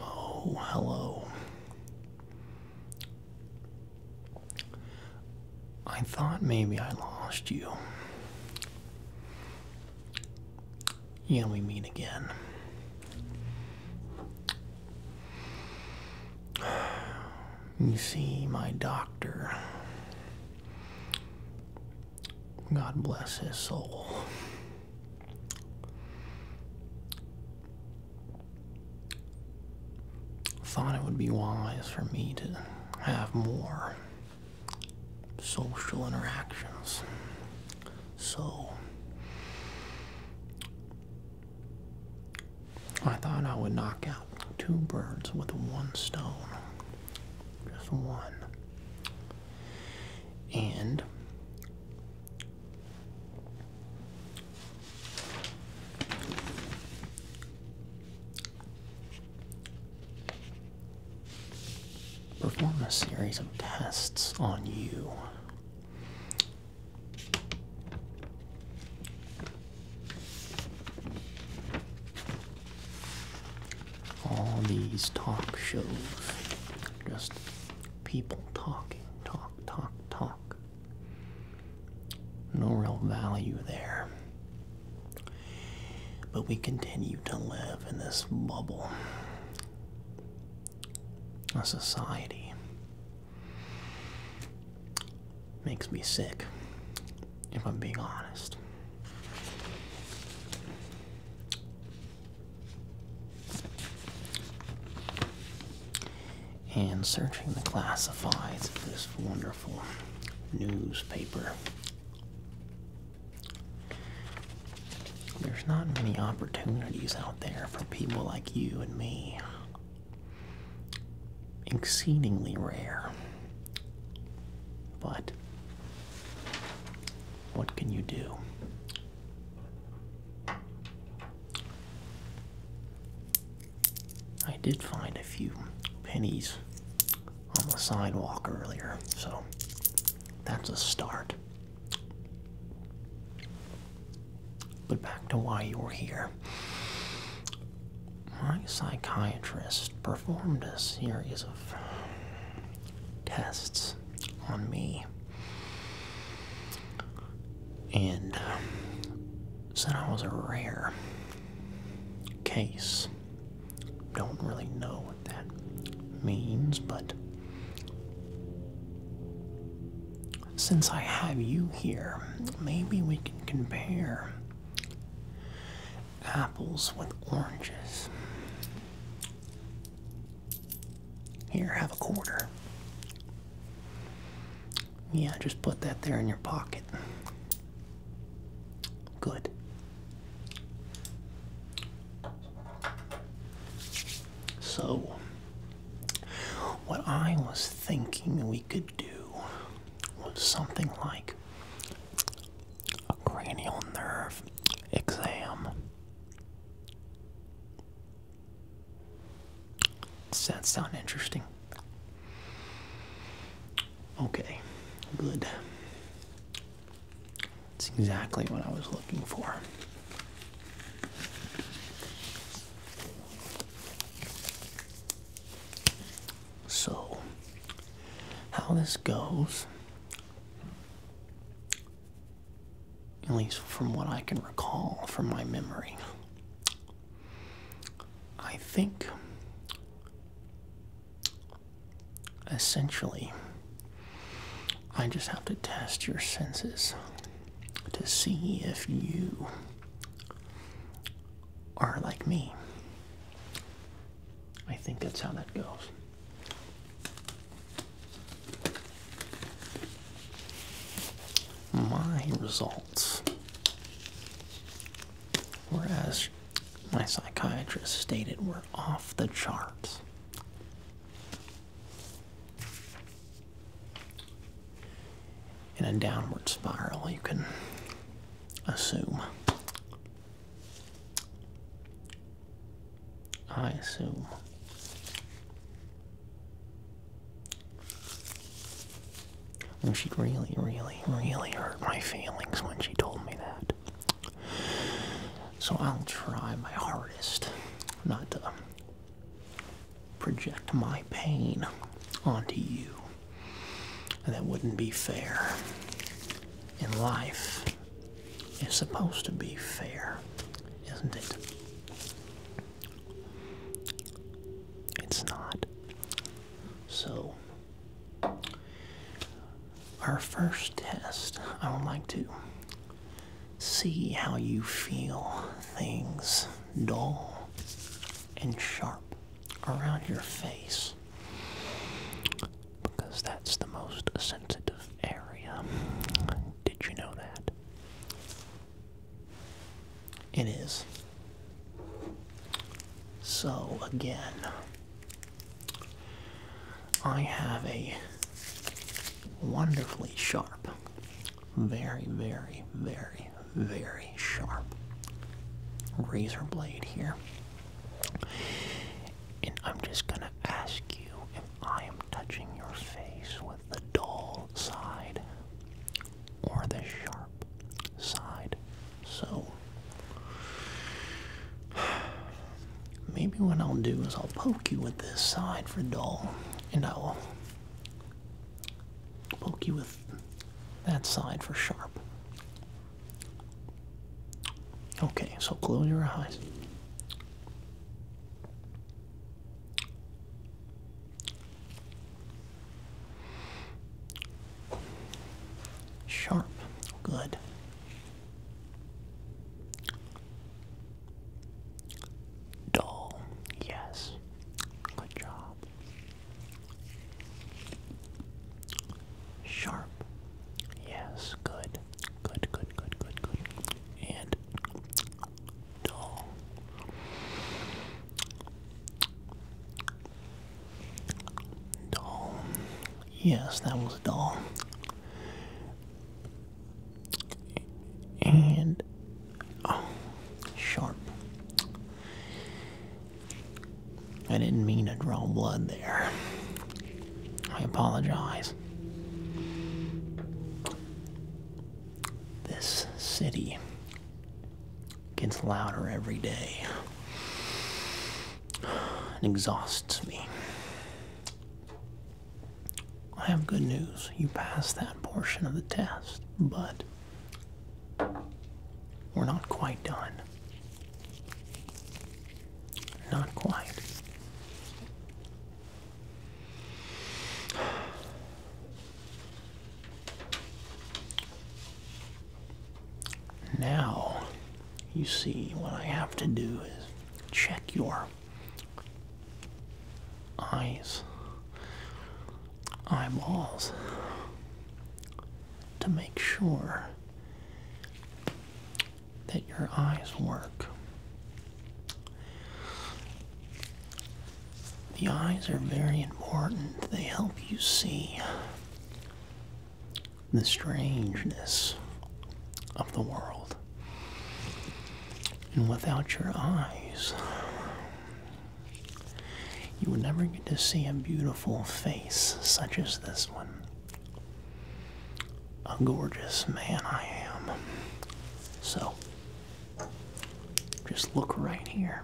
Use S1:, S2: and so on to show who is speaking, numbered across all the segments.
S1: oh, hello. I thought maybe I lost you. Yeah, we meet again. You see, my doctor, God bless his soul, thought it would be wise for me to have more social interactions. So, I thought I would knock out two birds with one stone. Just one. And perform a series of tests on you all these talk shows, just people talking, talk, talk, talk. No real value there. But we continue to live in this bubble, a society Makes me sick, if I'm being honest. And searching the classifieds of this wonderful newspaper. There's not many opportunities out there for people like you and me exceedingly rare. But what can you do? I did find a few pennies on the sidewalk earlier, so that's a start. But back to why you are here. My psychiatrist performed a series of tests on me and said I was a rare case. Don't really know what that means, but since I have you here, maybe we can compare apples with oranges. Here, have a quarter. Yeah, just put that there in your pocket. Good. So, what I was thinking we could do was something like a cranial nerve exam. Does that sound interesting? Okay, good. That's exactly what I was looking for. So, how this goes, at least from what I can recall from my memory, I think essentially I just have to test your senses to see if you are like me. I think that's how that goes. My results whereas my psychiatrist stated were off the charts in a downward spiral, you can assume. I assume. And oh, she really, really, really hurt my feelings when she told me that. So I'll try my hardest not to project my pain onto you. And that wouldn't be fair. And life is supposed to be fair, isn't it? It's not. So, our first test, I would like to See how you feel things dull and sharp around your face because that's the most sensitive area. Did you know that? It is. So, again, I have a wonderfully sharp, very, very, very, very sharp razor blade here. And I'm just going to ask you if I am touching your face with the dull side or the sharp side. So, Maybe what I'll do is I'll poke you with this side for dull, and I'll poke you with that side for sharp. Okay, so close your eyes. Sharp, good. Dull, yes. Good job. Sharp, yes. Good, good, good, good, good, good. And dull. Dull. Yes, that was dull and oh, sharp. I didn't mean to draw blood there. I apologize. This city gets louder every day. It exhausts me. I have good news. You passed that portion of the test, but we're not quite done. Not quite. Now, you see, what I have to do is check your eyes, eyeballs, to make sure that your eyes work. The eyes are very important. They help you see the strangeness of the world. And without your eyes, you would never get to see a beautiful face such as this one. A gorgeous man I am. So, just look right here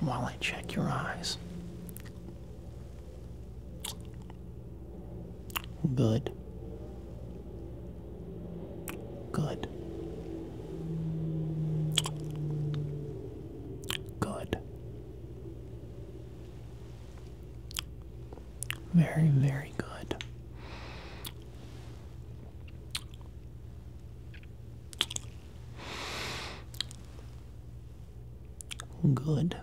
S1: while I check your eyes. Good. Good. Good. Very, very good. Good.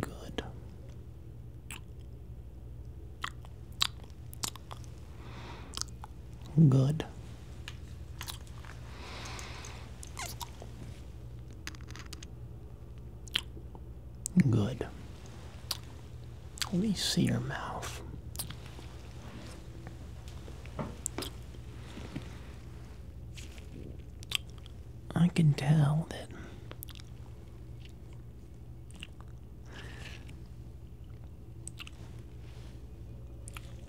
S1: Good. Good. Good. Let me see your mouth. I can tell that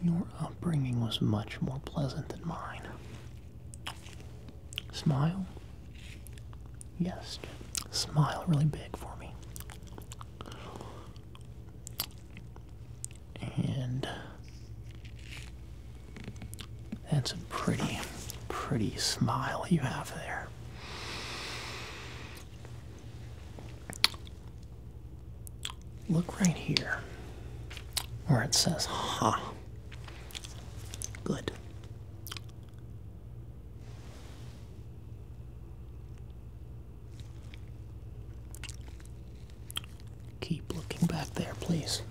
S1: your upbringing was much more pleasant than mine. Smile? Yes, smile really big for me and that's a pretty, pretty smile you have there. Look right here where it says ha. Good. Keep looking back there, please.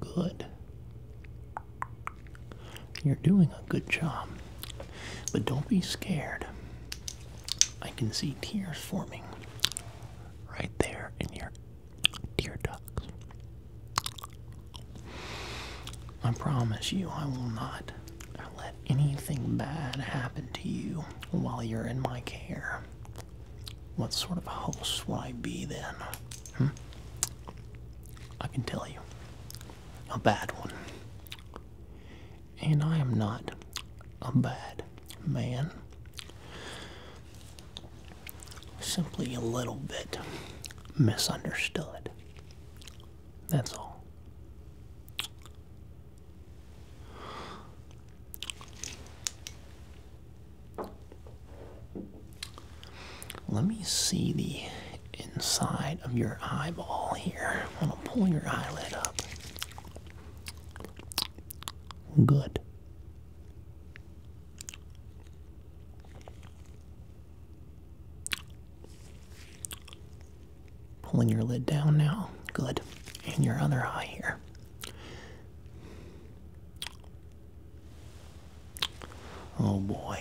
S1: Good. You're doing a good job. But don't be scared. I can see tears forming right there in your Dear ducks, I promise you I will not let anything bad happen to you while you're in my care. What sort of host will I be then? Hmm? I can tell you. A bad one. And I am not a bad man simply a little bit misunderstood. That's all. Let me see the inside of your eyeball here. I'm to pull your eyelid up. Good. Pulling your lid down now. Good. And your other eye here. Oh boy.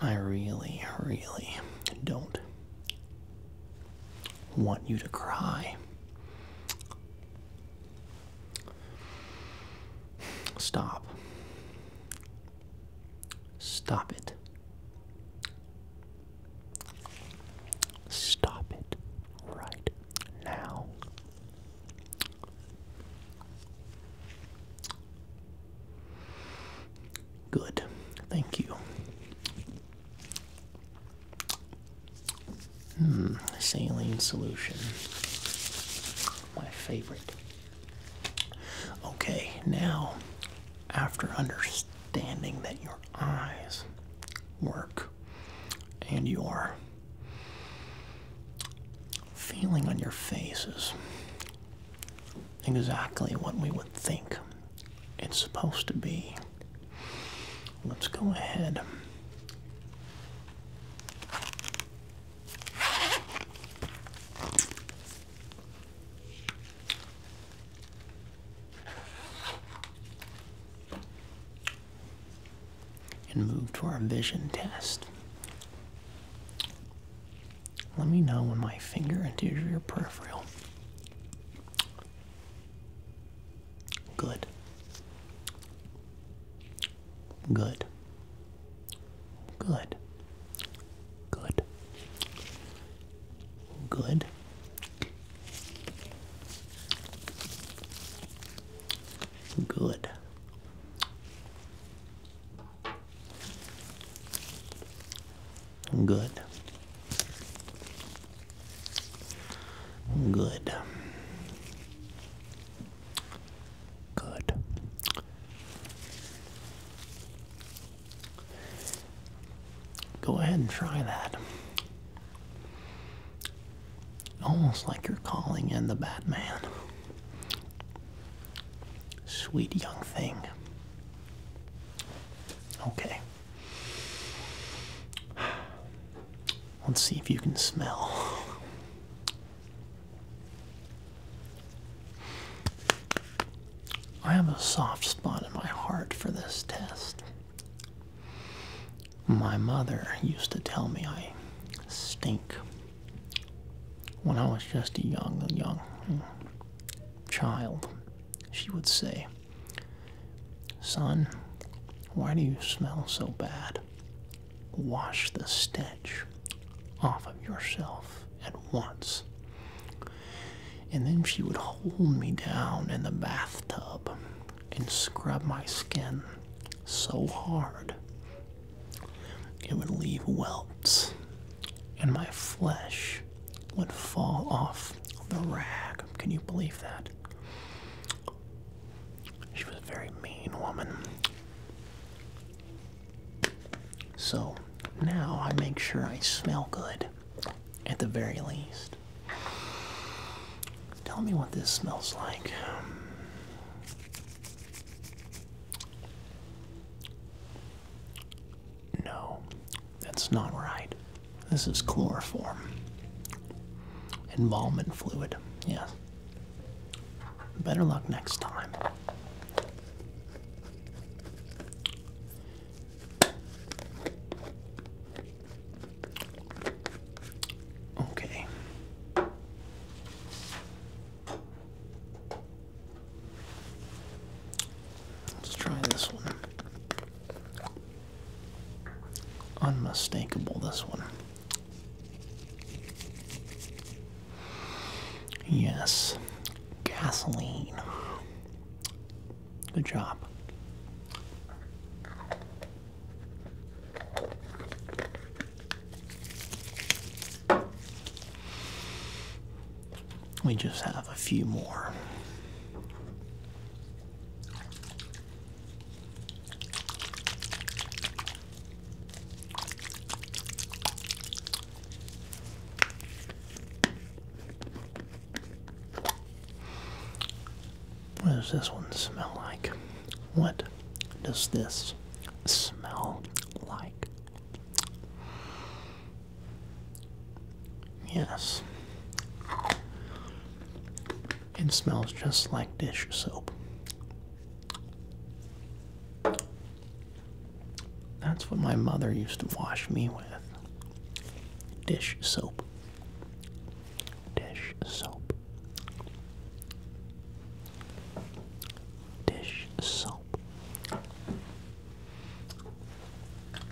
S1: I really, really don't want you to cry. Stop. Stop it. Stop it right now. Good. Thank you. Hmm, saline solution. My favorite. Okay, now, after understanding that your eyes work and your feeling on your faces, exactly what we would think it's supposed to be. Let's go ahead and move to our vision test. Let me know when my finger enters your peripheral. Good. Good. Good. Good. Good. Good. Good. Good. Good. Go ahead and try that. Almost like you're calling in the Batman. Sweet young thing. Okay. Let's see if you can smell. I have a soft spot in my heart for this test. My mother used to tell me I stink when I was just a young, young child, she would say, Son, why do you smell so bad? Wash the stench off of yourself at once. And then she would hold me down in the bathtub and scrub my skin so hard it would leave welts, and my flesh would fall off the rack. Can you believe that? She was a very mean woman. So now I make sure I smell good, at the very least. Tell me what this smells like. No, that's not right. This is chloroform. Embalmment fluid, yes. Better luck next time. Okay. Let's try this one. Unmistakable, this one. Yes, gasoline. Good job. We just have a few more. What does this one smell like? What does this smell like? Yes. It smells just like dish soap. That's what my mother used to wash me with dish soap. Dish soap. Dish soap.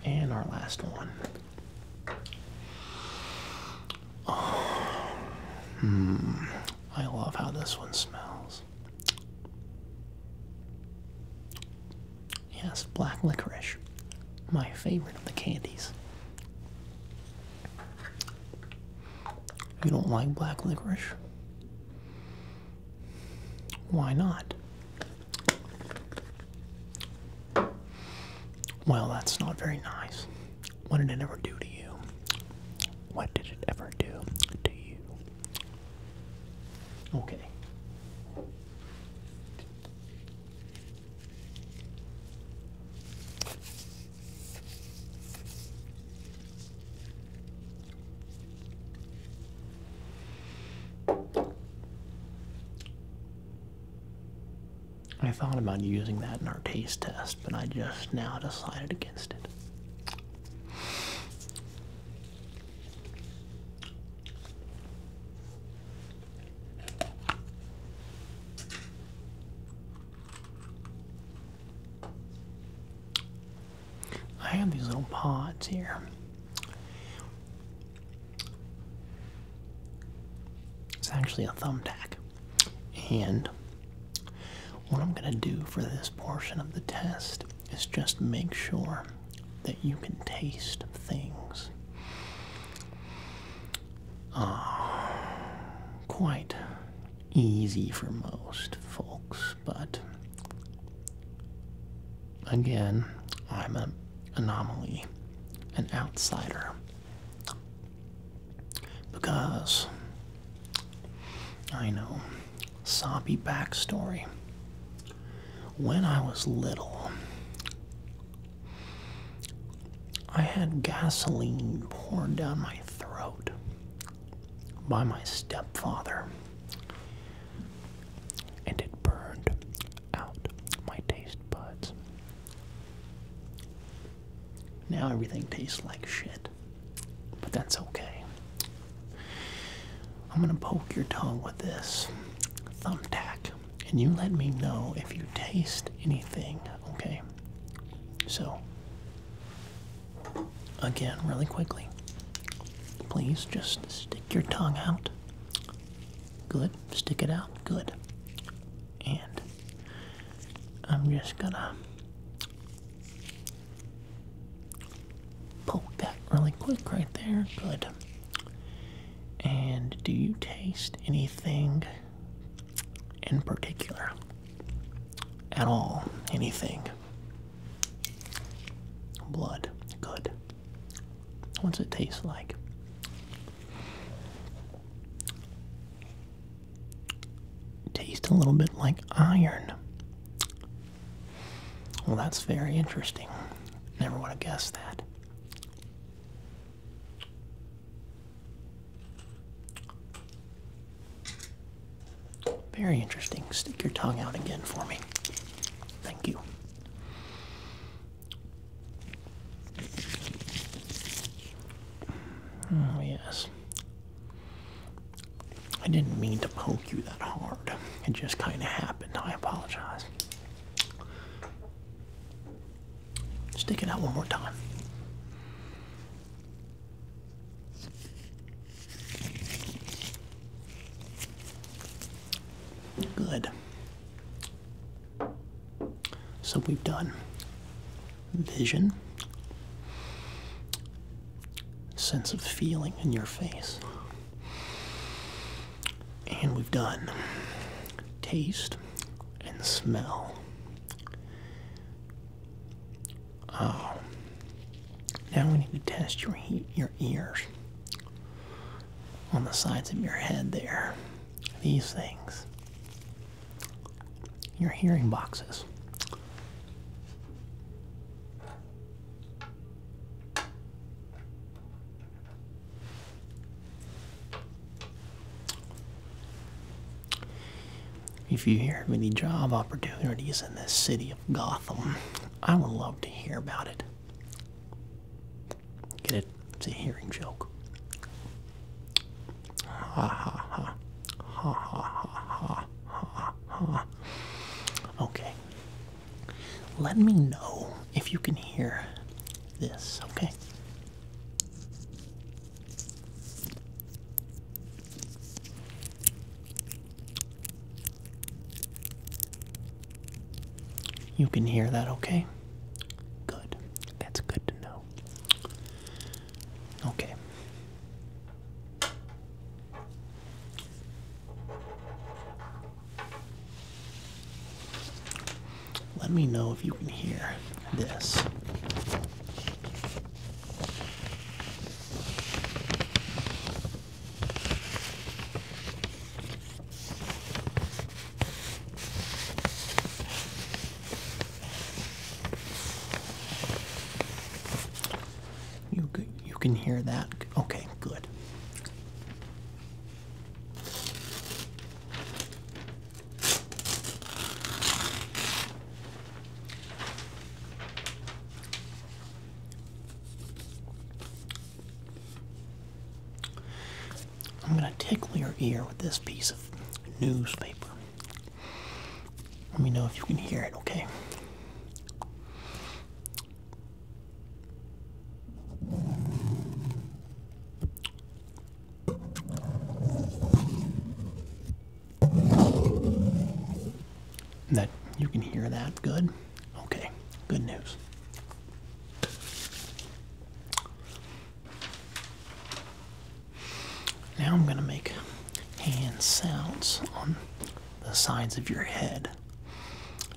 S1: And our last one. hmm. I love how this one smells. Yes, black licorice. My favorite of the candies. You don't like black licorice? Why not? Well, that's not very nice. What did it ever do to you? What did it ever do to you? Okay. I thought about using that in our taste test, but I just now decided against it. I have these little pods here. It's actually a thumbtack. And what I'm going to do for this portion of the test is just make sure that you can taste things uh, quite easy for most folks, but again, I'm an anomaly, an outsider, because I know sappy backstory. When I was little, I had gasoline poured down my throat by my stepfather, and it burned out my taste buds. Now everything tastes like shit, but that's okay. I'm gonna poke your tongue with this thumbtack and you let me know if you taste anything, okay? So, again, really quickly, please just stick your tongue out. Good. Stick it out. Good. And I'm just gonna poke that really quick right there. Good. And do you taste anything in particular at all, anything. Blood, good. What's it taste like? Taste a little bit like iron. Well, that's very interesting. Never would have guessed that. Very interesting. Stick your tongue out again for me. Thank you. Oh, yes. I didn't mean to poke you that hard. It just kind of happened. I apologize. Stick it out one more time. Good. So we've done vision, sense of feeling in your face, and we've done taste, and smell. Oh. Now we need to test your heat, your ears on the sides of your head there. These things. Your hearing boxes. If you hear of any job opportunities in the city of Gotham, I would love to hear about it. Get it? It's a hearing joke. ha ha. Ha ha ha ha ha ha. Okay. Let me know if you can hear this, okay? You can hear that, okay? Good. That's good to know. Okay. Let me know if you can hear this. You you can hear that. Okay, good. I'm going to tickle your ear with this piece of newspaper. Let me know if you can hear it, okay? That you can hear that good? Okay, good news. Now I'm going to make hand sounds on the sides of your head.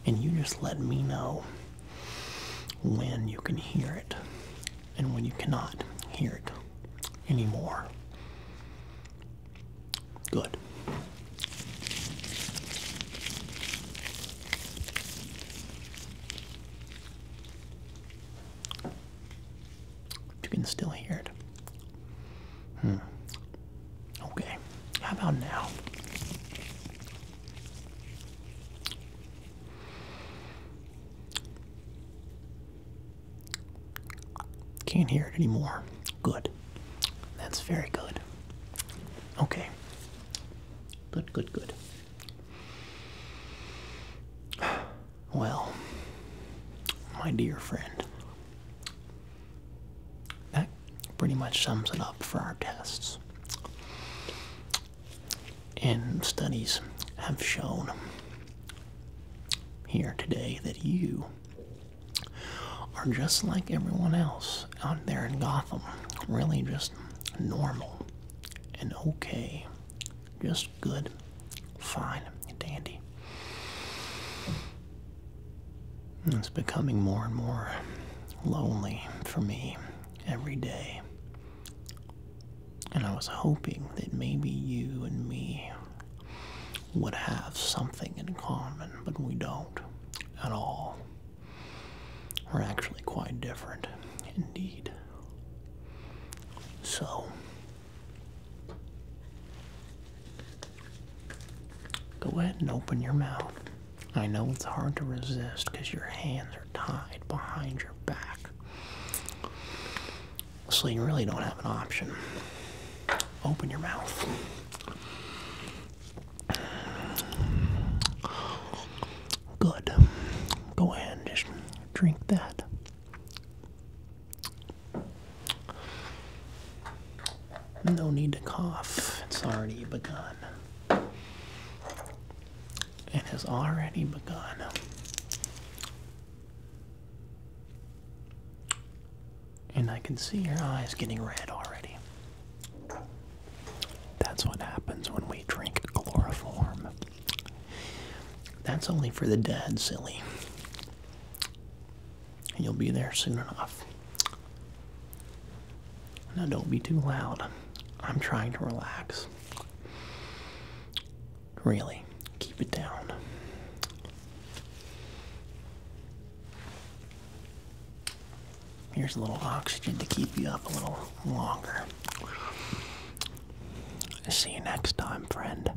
S1: And you just let me know when you can hear it and when you cannot hear it anymore. Good. You can still hear it. Hmm. Okay. How about now? Can't hear it anymore. Good. That's very good. Okay. Good, good, good. Well, my dear friend, that pretty much sums it up for our tests. And studies have shown here today that you are just like everyone else out there in Gotham. Really just normal and okay. Just good, fine, dandy. It's becoming more and more lonely for me every day. And I was hoping that maybe you and me would have something in common, but we don't at all. We're actually quite different, indeed. So, go ahead and open your mouth. I know it's hard to resist because your hands are tied behind your back. So you really don't have an option. Open your mouth. Good. Go ahead and just drink that. No need to cough. It's already begun and has already begun. And I can see your eyes getting red already. That's what happens when we drink chloroform. That's only for the dead, silly. You'll be there soon enough. Now, don't be too loud. I'm trying to relax. Really, keep it down. Here's a little oxygen to keep you up a little longer. See you next time, friend.